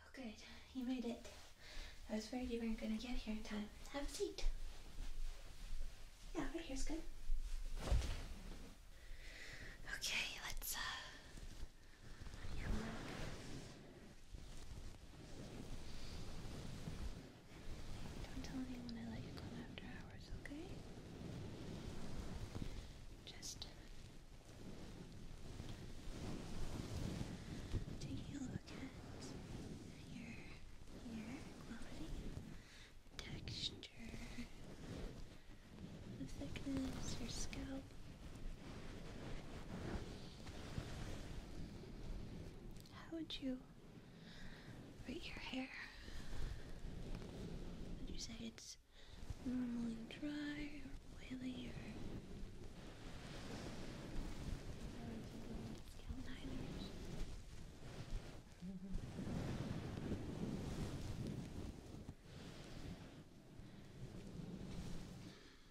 Oh, good. You made it. I was worried you weren't going to get here in time. Have a seat. Yeah, right here's good. Okay, let's uh on Don't tell anyone I let you come after hours, okay? Just taking a look at your hair quality, texture, the thickness, your scalp, how would you rate your hair? Would you say it's normally dry or oily or?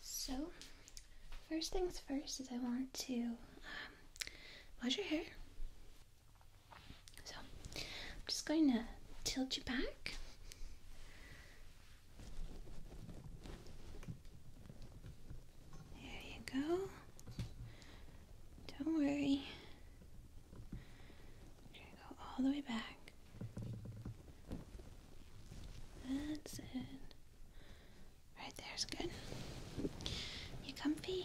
So, first things first is I want to um, wash your hair. So, I'm just going to tilt you back. There you go. Don't worry. go all the way back. That's it. Right there's good. You comfy?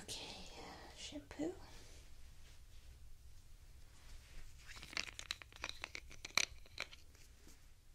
Okay, shampoo.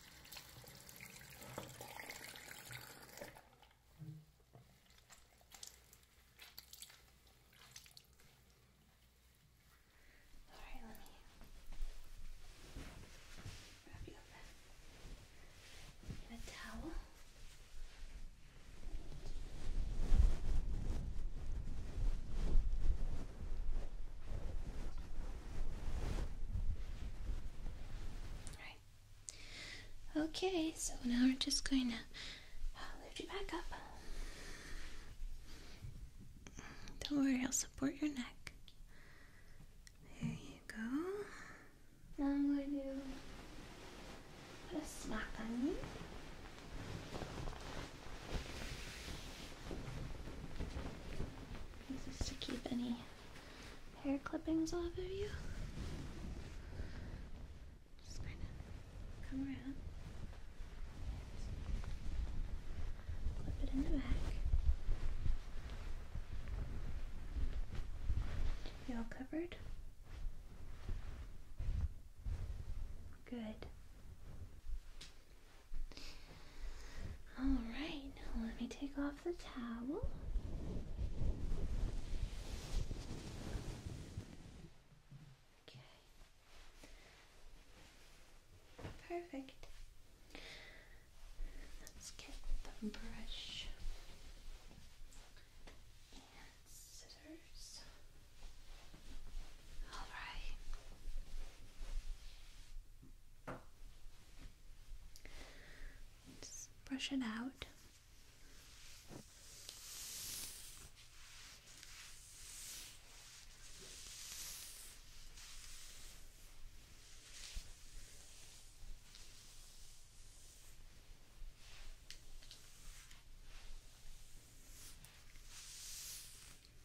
All right, let me wrap you up in a towel. All Okay, so now we're just going to uh, lift you back up. Don't worry, I'll support your neck. There you go. Now I'm going to put a smack on you. This to keep any hair clippings off of you. Just kind of come around. Clip it in the back. You all covered? Good. Alright, now let me take off the towel. Okay. Perfect. Let's get the brush and scissors. All right. Just brush it out.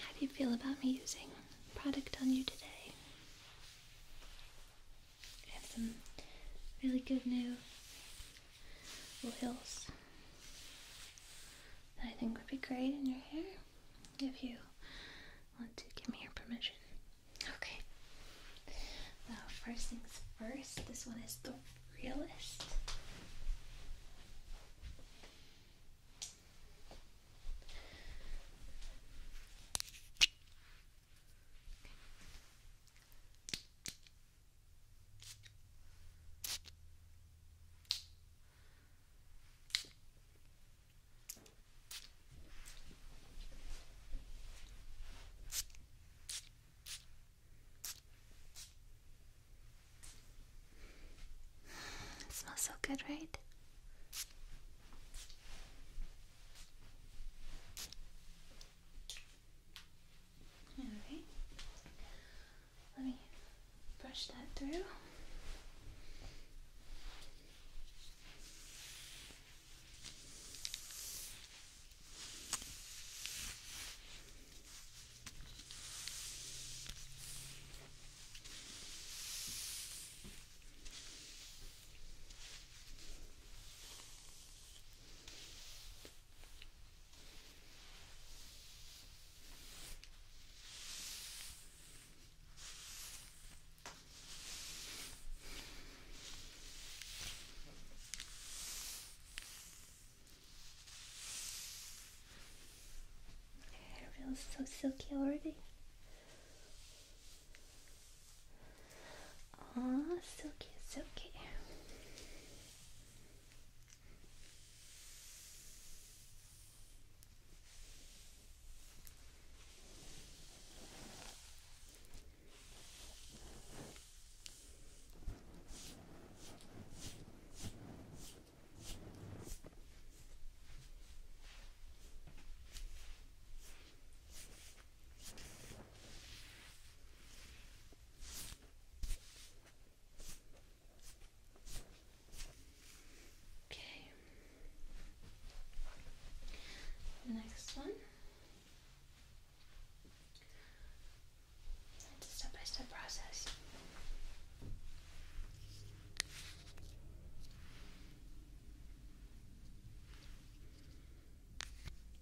How do you feel about me using product on you today? I have some really good new little hills that I think would be great in your hair if you want to give me your permission. Okay. Now, first things first, this one is the realist. It smells so good, right? Okay. Let me brush that through. It feels so silky already. Oh, so cute, so cute. Okay. Next one. It's a step by step process.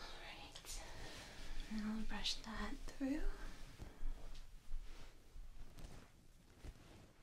All right, right. I'll brush that through.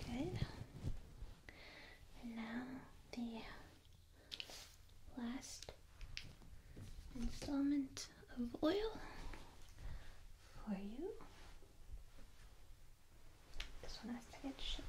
Okay. Good. now the last installment of oil for you. This one has to get shipped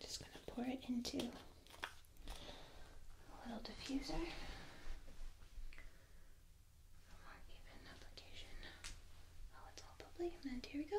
just going to pour it into a little diffuser. A more even application. Oh, it's all bubbly. And here we go.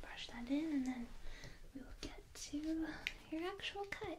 Brush that in, and then we will get to your actual cut.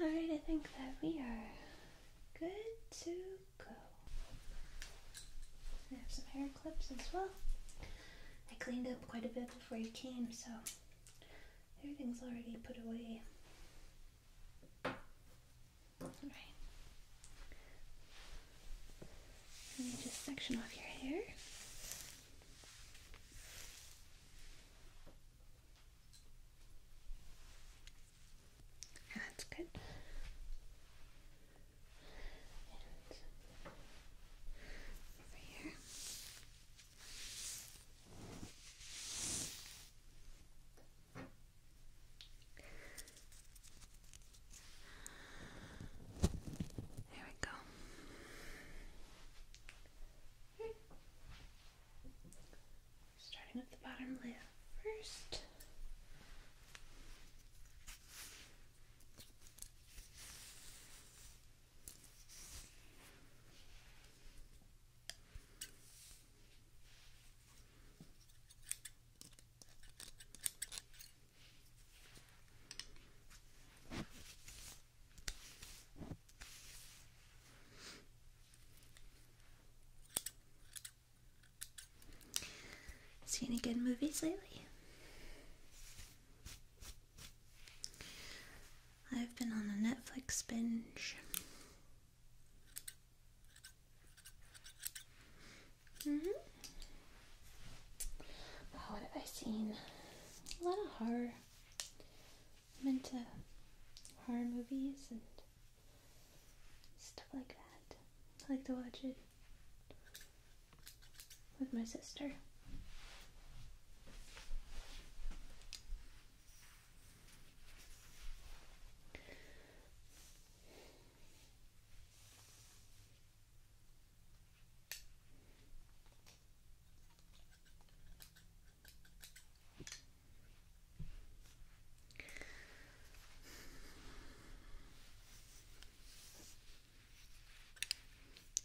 Alright, I think that we are good to go. I have some hair clips as well. I cleaned up quite a bit before you came, so everything's already put away. Alright. Let me just section off your hair. That's good. over here. There we go. Starting with the bottom lip first. See any good movies lately? I've been on a Netflix binge. Mm hmm Oh, what have I seen? A lot of horror. I'm into horror movies and stuff like that. I like to watch it with my sister.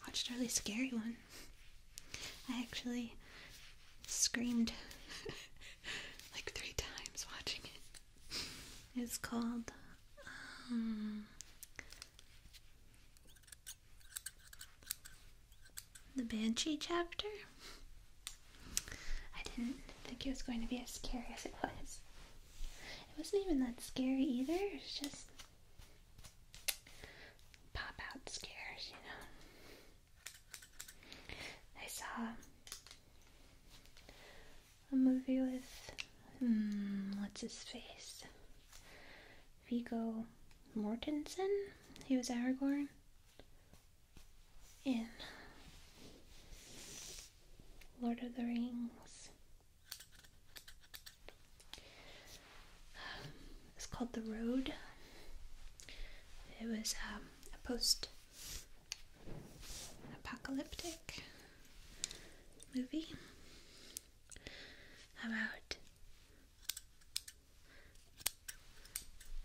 Watched a really scary one. I actually screamed like three times watching it. It's called um, the Banshee chapter? I didn't think it was going to be as scary as it was. It wasn't even that scary either, it was just pop out scares, you know. I saw a movie with. Hmm, what's his face? Vigo Mortensen, he was Aragorn in Lord of the Rings. It's called The Road. It was um, a post apocalyptic movie about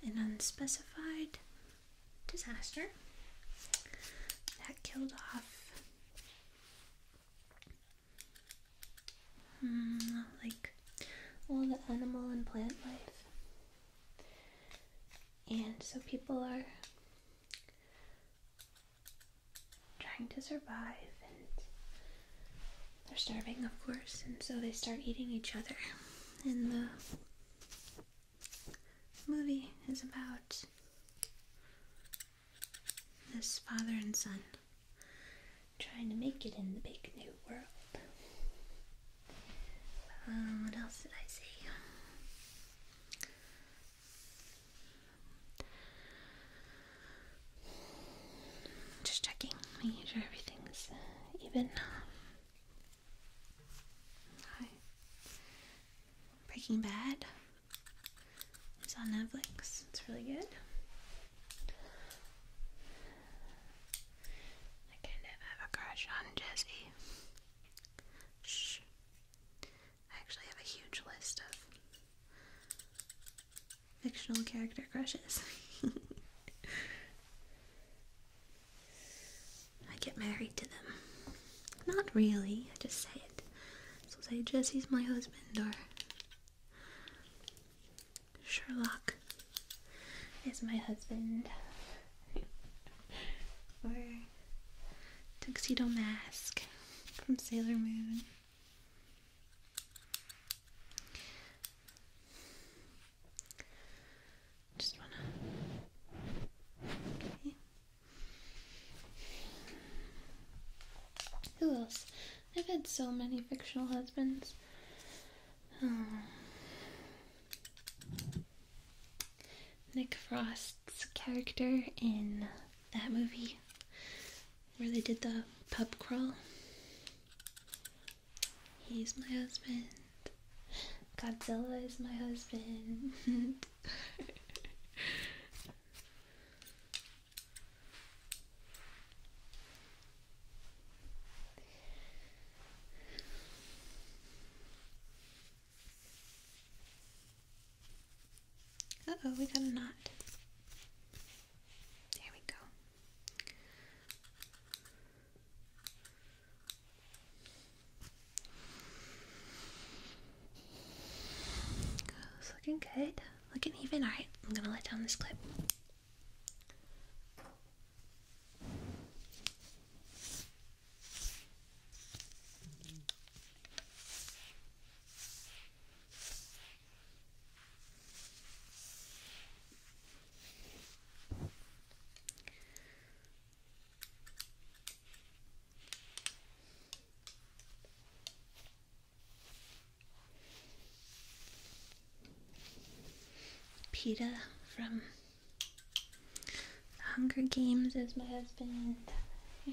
an unspecified disaster that killed off hmm, like all the animal and plant life? And so people are trying to survive and they're starving, of course, and so they start eating each other. And the movie is about this father and son trying to make it in the big new world. Um, what else did I see? Just checking, Make sure everything's uh, even. Hi. Breaking Bad. It's on Netflix. It's really good. I kind of have a crush on Jesse. Shh. I actually have a huge list of fictional character crushes. I get married to them. Not really, I just say it. So say Jesse's my husband or Sherlock is my husband. or Tuxedo Mask from Sailor Moon. Just wanna. Who else? I've had so many fictional husbands. Um, Nick Frost's character in that movie where they did the pub crawl. He's my husband. Godzilla is my husband. Uh oh, we got a knot. There we go. It's looking good. Looking even. Alright, I'm gonna let down this clip. Peta from Hunger Games is my husband.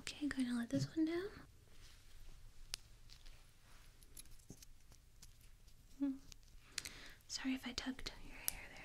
Okay, going to let this one down. Hmm. Sorry if I tugged your hair there.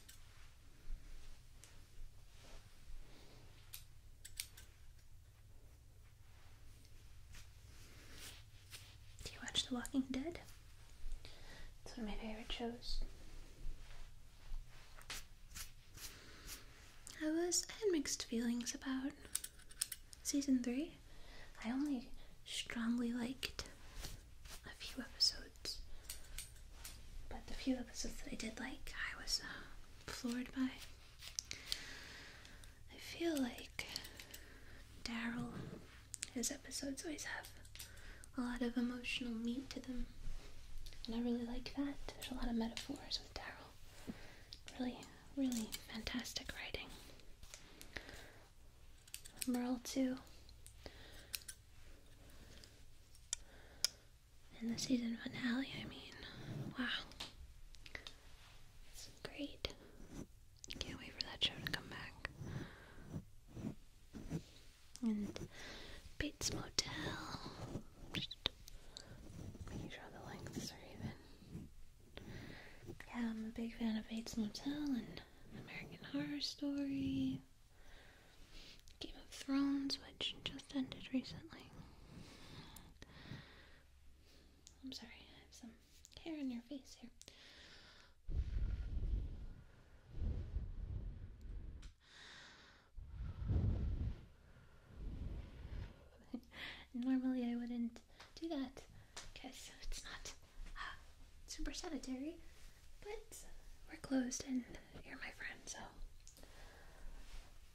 Do you watch The Walking Dead? It's one of my favorite shows. I was I had mixed feelings about season three. I only strongly liked a few episodes, but the few episodes that I did like, I was uh, floored by. I feel like Daryl, his episodes always have a lot of emotional meat to them, and I really like that. There's a lot of metaphors with Daryl. Really, really fantastic writing. Merle two. And the season finale, I mean, wow. It's great. Can't wait for that show to come back. And Bates Motel. Just making the lengths are even. Yeah, I'm a big fan of Bates Motel and American Horror Story. Game of Thrones, which just ended recently. I'm sorry, I have some hair in your face here. Normally I wouldn't do that because it's not super sanitary, but we're closed and you're my friend, so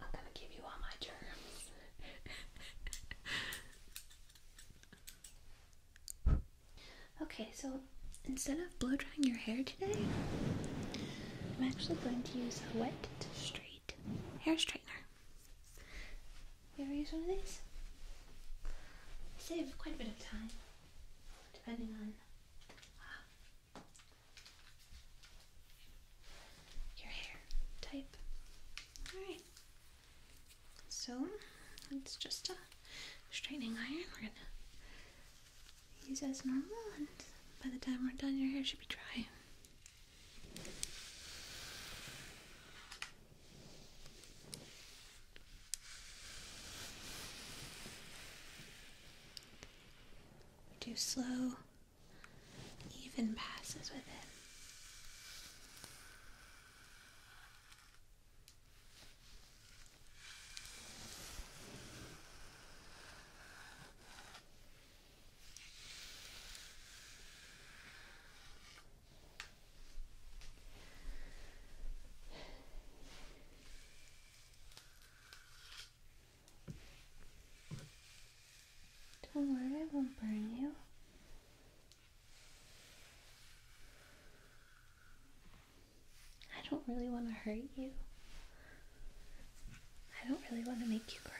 I'm gonna give you all my germs. Okay, so instead of blow drying your hair today, I'm actually going to use a wet straight hair straightener. You ever use one of these? save quite a bit of time depending on uh, your hair type. Alright, so it's just a straightening iron. We're gonna use as normal, and by the time we're done, your hair should be dry. Do slow, even passes with it. Don't worry, I won't burn you. I don't really want to hurt you. I don't really want to make you cry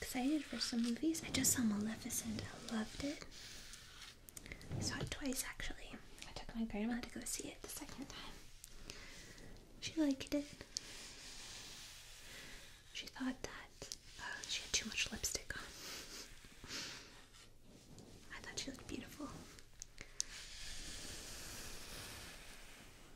excited for some movies. I just saw Maleficent. I loved it. I saw it twice actually. I took my grandma to go see it the second time. She liked it. She thought that uh, she had too much lipstick on. I thought she looked beautiful.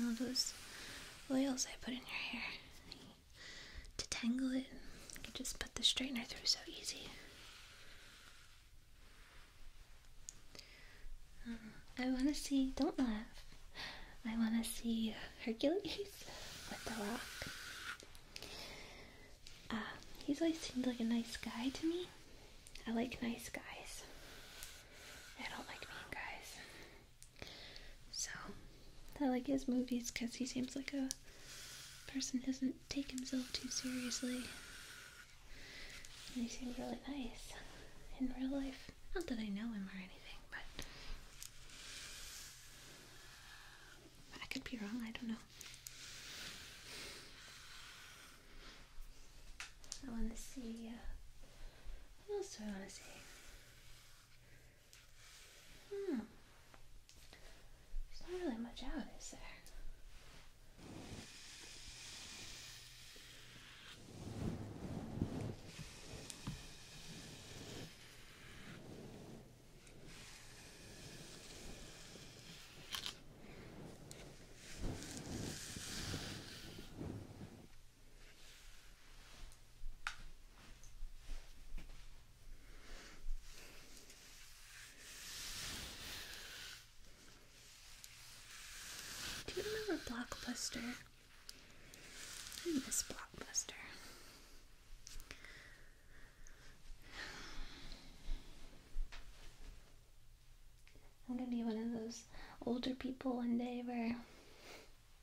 All those oils I put in your hair to tangle it, you just put the straightener through so easy. Um, I want to see, don't laugh, I want to see Hercules with the rock uh, he's always seemed like a nice guy to me. I like nice guys. I don't like mean guys. So, I like his movies because he seems like a person doesn't take himself too seriously. And he seems really nice in real life. Not that I know him or anything, but. I could be wrong, I don't know. I want to see. Uh, what else do I want to see? Hmm. There's not really much out, of is there? Do you remember Blockbuster? I miss Blockbuster. I'm gonna be one of those older people one day where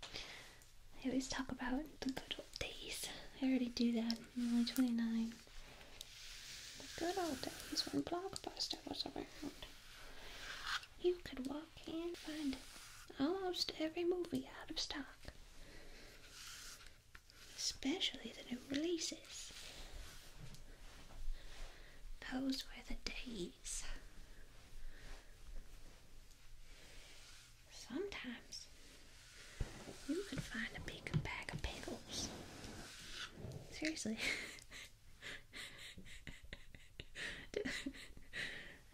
I always talk about the good old days. I already do that. I'm only 29. The good old days when Blockbuster was around. You could walk in and find almost every movie out of stock especially the new releases. Those were the days. Sometimes you can find a big bag of pickles. Seriously.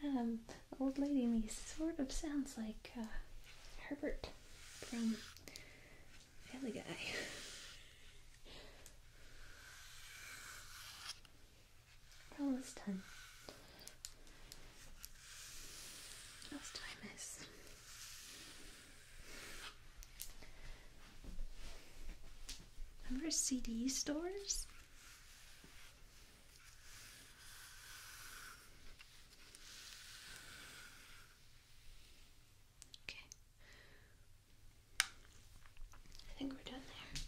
um, old lady me sort of sounds like uh, Herbert from Family Guy. We're almost done. What else do Remember CD stores? Okay. I think we're done there.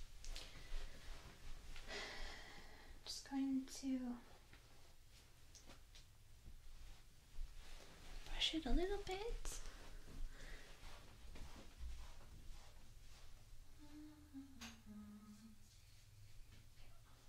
Just going to brush it a little bit.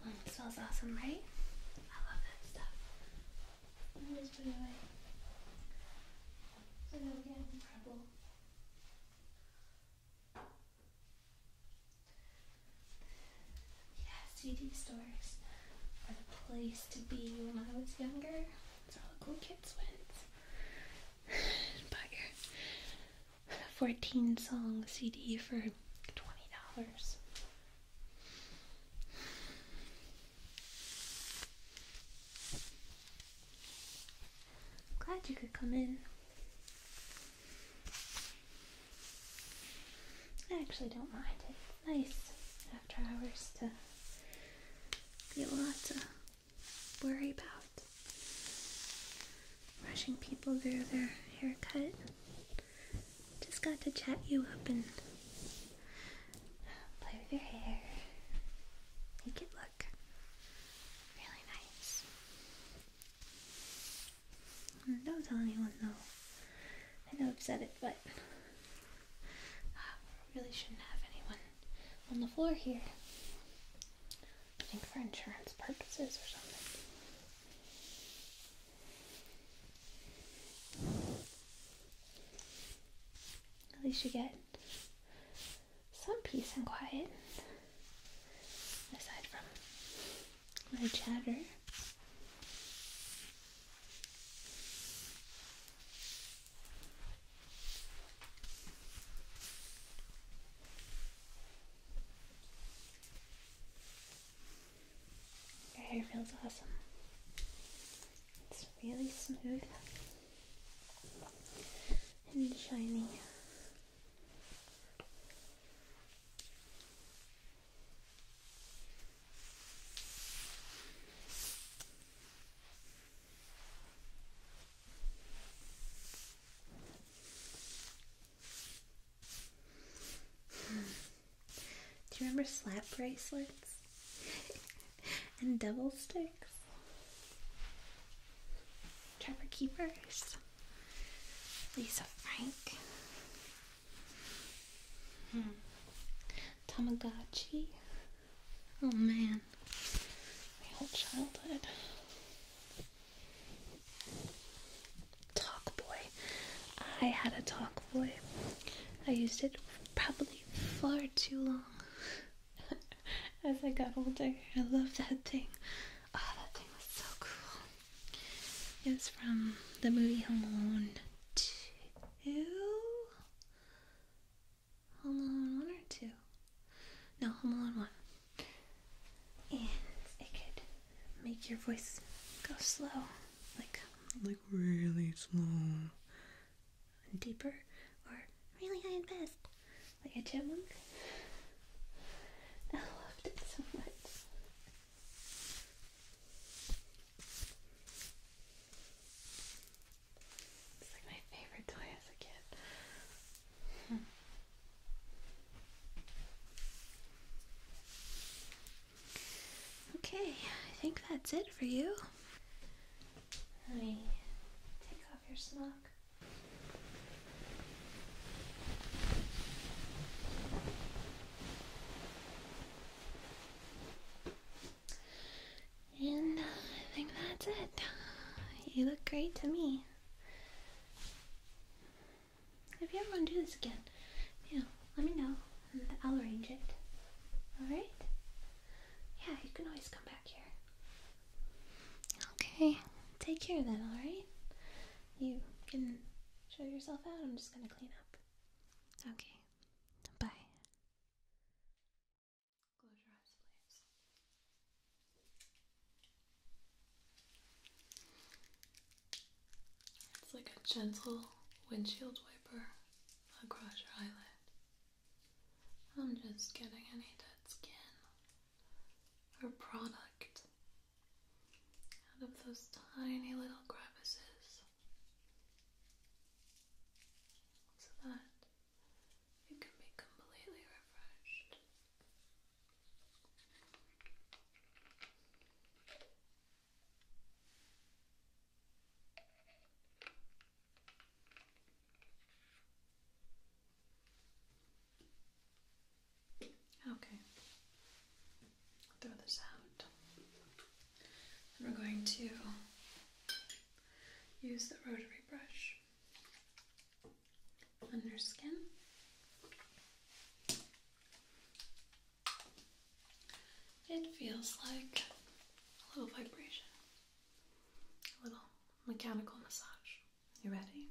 Mm, it smells awesome, right? I love that stuff. I'm just put it away. So I don't get in trouble. Yeah, CD stores are the place to be when I was younger. That's all the cool kids went. Bought your 14 song CD for $20. Glad you could come in. I actually don't mind it. It's nice after hours to be a lot to worry about. Rushing people through their haircut. Just got to chat you up and play with your hair. Make it look really nice. Don't tell anyone though. I know I've said it, but uh, we really shouldn't have anyone on the floor here. I think for insurance purposes or something. At least you get some peace and quiet aside from my chatter. Your hair feels awesome. It's really smooth and shiny. Do you remember slap bracelets and double sticks? Trevor Keepers. Lisa Frank, hmm. Tamagotchi. Oh man, my whole childhood. Talk boy. I had a talk boy. I used it probably far too long. As I got older, I loved that thing. Oh, that thing was so cool. It's from the movie Home Alone 2? Home Alone 1 or 2? No, Home Alone 1. And it could make your voice go slow. Like, like really slow. And deeper. Or really high and fast. Like a chipmunk. I loved it so much. It's like my favorite toy as a kid. Okay, I think that's it for you. Let me take off your smock. And I think that's it. You look great to me. If you ever want to do this again, you know, let me know and I'll arrange it. Alright? Yeah, you can always come back here. Okay, take care then, alright? you can show yourself out. I'm just going to clean up. Okay. Bye. Close your eyes, please. It's like a gentle windshield wiper across your eyelid. I'm just getting any dead skin or product out of those tiny little crevices so that you can be completely refreshed. Okay. throw this out. we're going to use the rotary brush on your skin. It feels like a little vibration, a little mechanical massage. You ready?